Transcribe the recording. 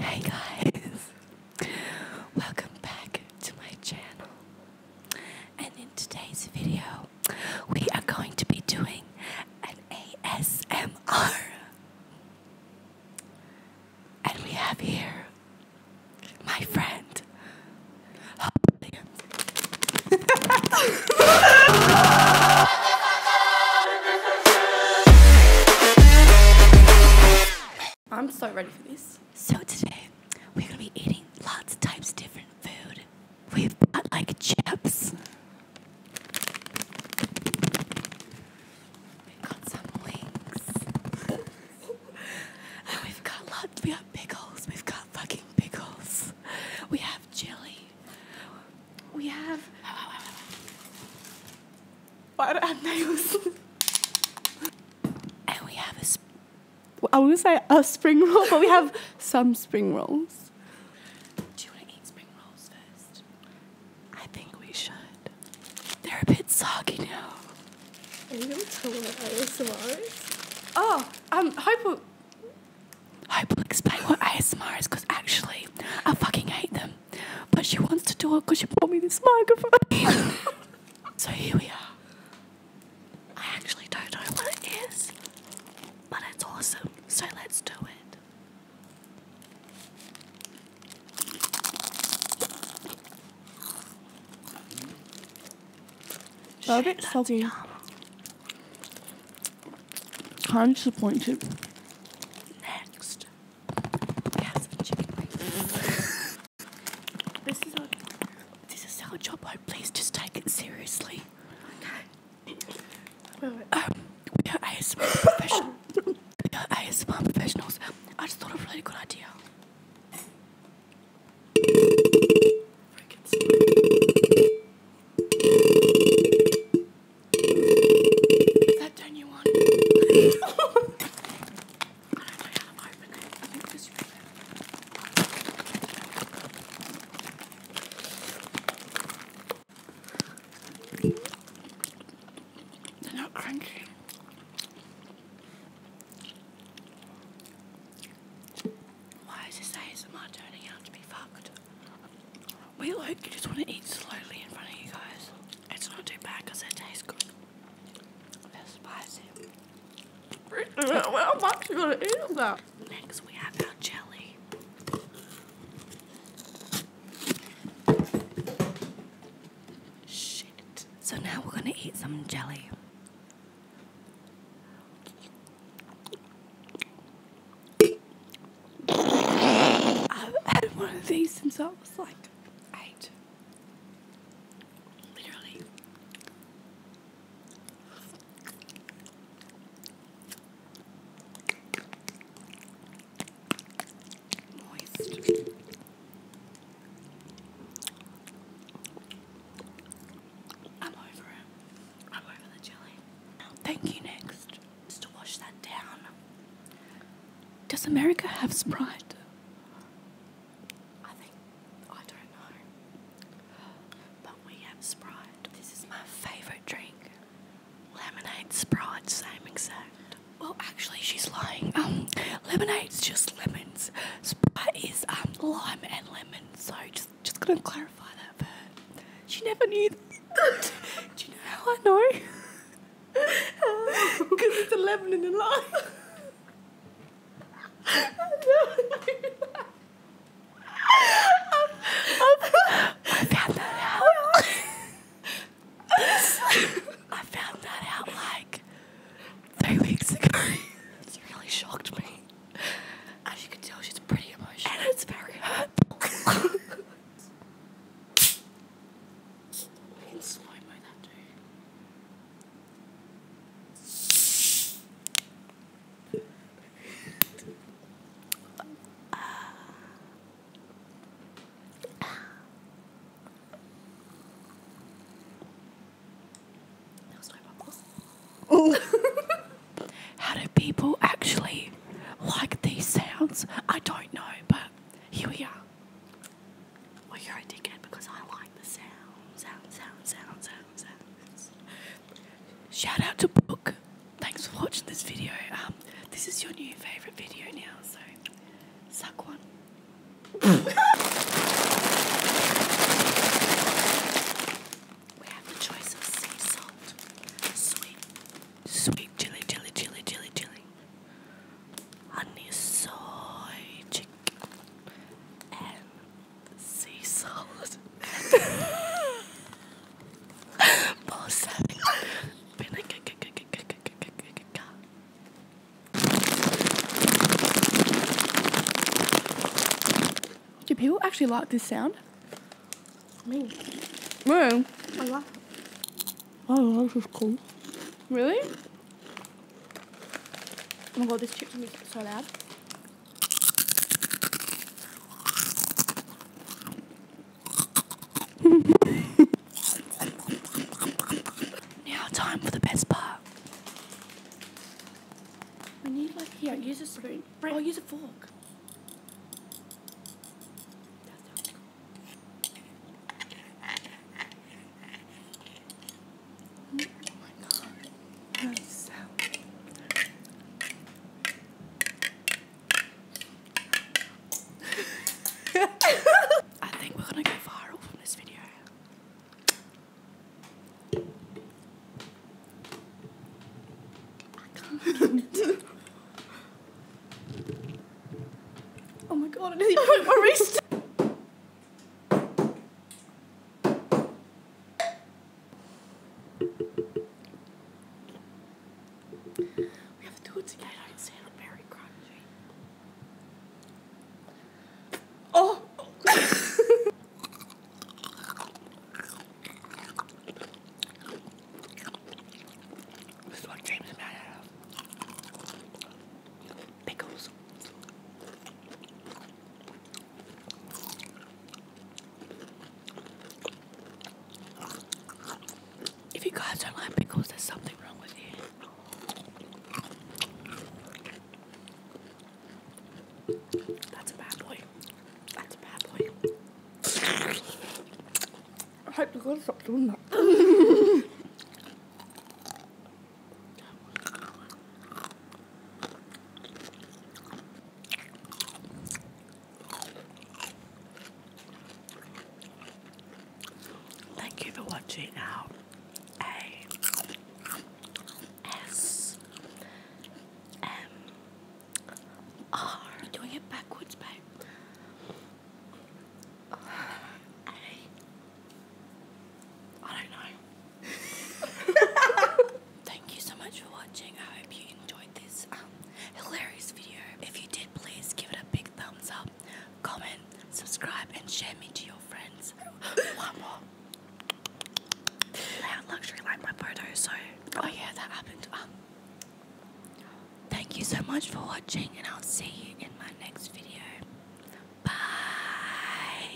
Hey guys, welcome back to my channel. And in today's video, we are going to be doing an ASMR. And we have here my friend. I'm so ready for this. So today, we're gonna be eating lots of types of different food. We've got like chips. We've got some wings. we've got lots, we have pickles. We've got fucking pickles. We have chili we have what are nails. and we have a. Sp- I would say a spring roll, but we have some spring rolls. Do you want to eat spring rolls first? I think we should. They're a bit soggy now. Are you gonna tell what I was tomorrow? Oh, um, Hope Hope will explain what ASMR is because actually I fucking hate them. But she wants to do it because she bought me this microphone. so here we are. I actually don't know what it is, but it's awesome. So let's do it. Well, a salty. I'm disappointed. Next, this is a this our job. Please just take it seriously. Okay. Um, we are ASMR professionals. we are ASMR professionals. I just thought of a really good idea. Frankenstein. Does that you on? I don't to open it. I think this really they're not crunchy. Why is this not turning out to be fucked? We like, you just want to eat slowly in front of you guys. It's not too bad because it tastes good. they spicy. How much you gonna eat of that? Next, we have our jelly. Shit. So now we're gonna eat some jelly. I've had one of these since I was like eight. Literally. Moist. I'm over it. I'm over the jelly. Thank you, next. Just to wash that down. Does America have Sprite? I think. I don't know. But we have Sprite. This is my favourite drink. Lemonade Sprite, same exact. Well, actually, she's lying. Um, Lemonade is just lemons. Sprite is um, lime and lemon. So just just gonna clarify that first. She never knew. Do you know how I know? Because it's a lemon and a lime. I found that out. I found that out like three weeks ago. It's really shocked me. As you can tell, she's pretty emotional. And it's very hurtful. How do people actually like these sounds? I don't know, but here we are. Well, you're a dickhead because I like the sound, sounds. Shout out to Book. Thanks for watching this video. Um, this is your new favorite video now, so Suck one. we have the choice of sea salt, sweet, sweet chili, chili, chili, chili, chili, honey soy chicken, and sea salt. Balsamic vinegar. Do people actually like this sound? Me. Really? I like Oh, this is cool. Really? Oh my god, this chip's gonna be so loud. now, time for the best part. I need, like, here, use a spoon. Brent, oh, use a fork. I think we're gonna go viral from this video. oh my god, I nearly broke my wrist. We have to do it together. I'd say it very crunchy. Oh! this is what James mad at. Pickles. If you guys are lime pickles, there's something wrong with you. That's a bad boy. That's a bad boy. I hope you gotta stop doing that. Thank you for watching now. A S M R. I'm doing it backwards, babe. I don't know. Thank you so much for watching. I hope you enjoyed this um, hilarious video. If you did, please give it a big thumbs up, comment, subscribe, and share me to your friends. One more. Loud luxury like my photo, oh yeah, that happened. Um, thank you so much for watching, and I'll see you in my next video. Bye.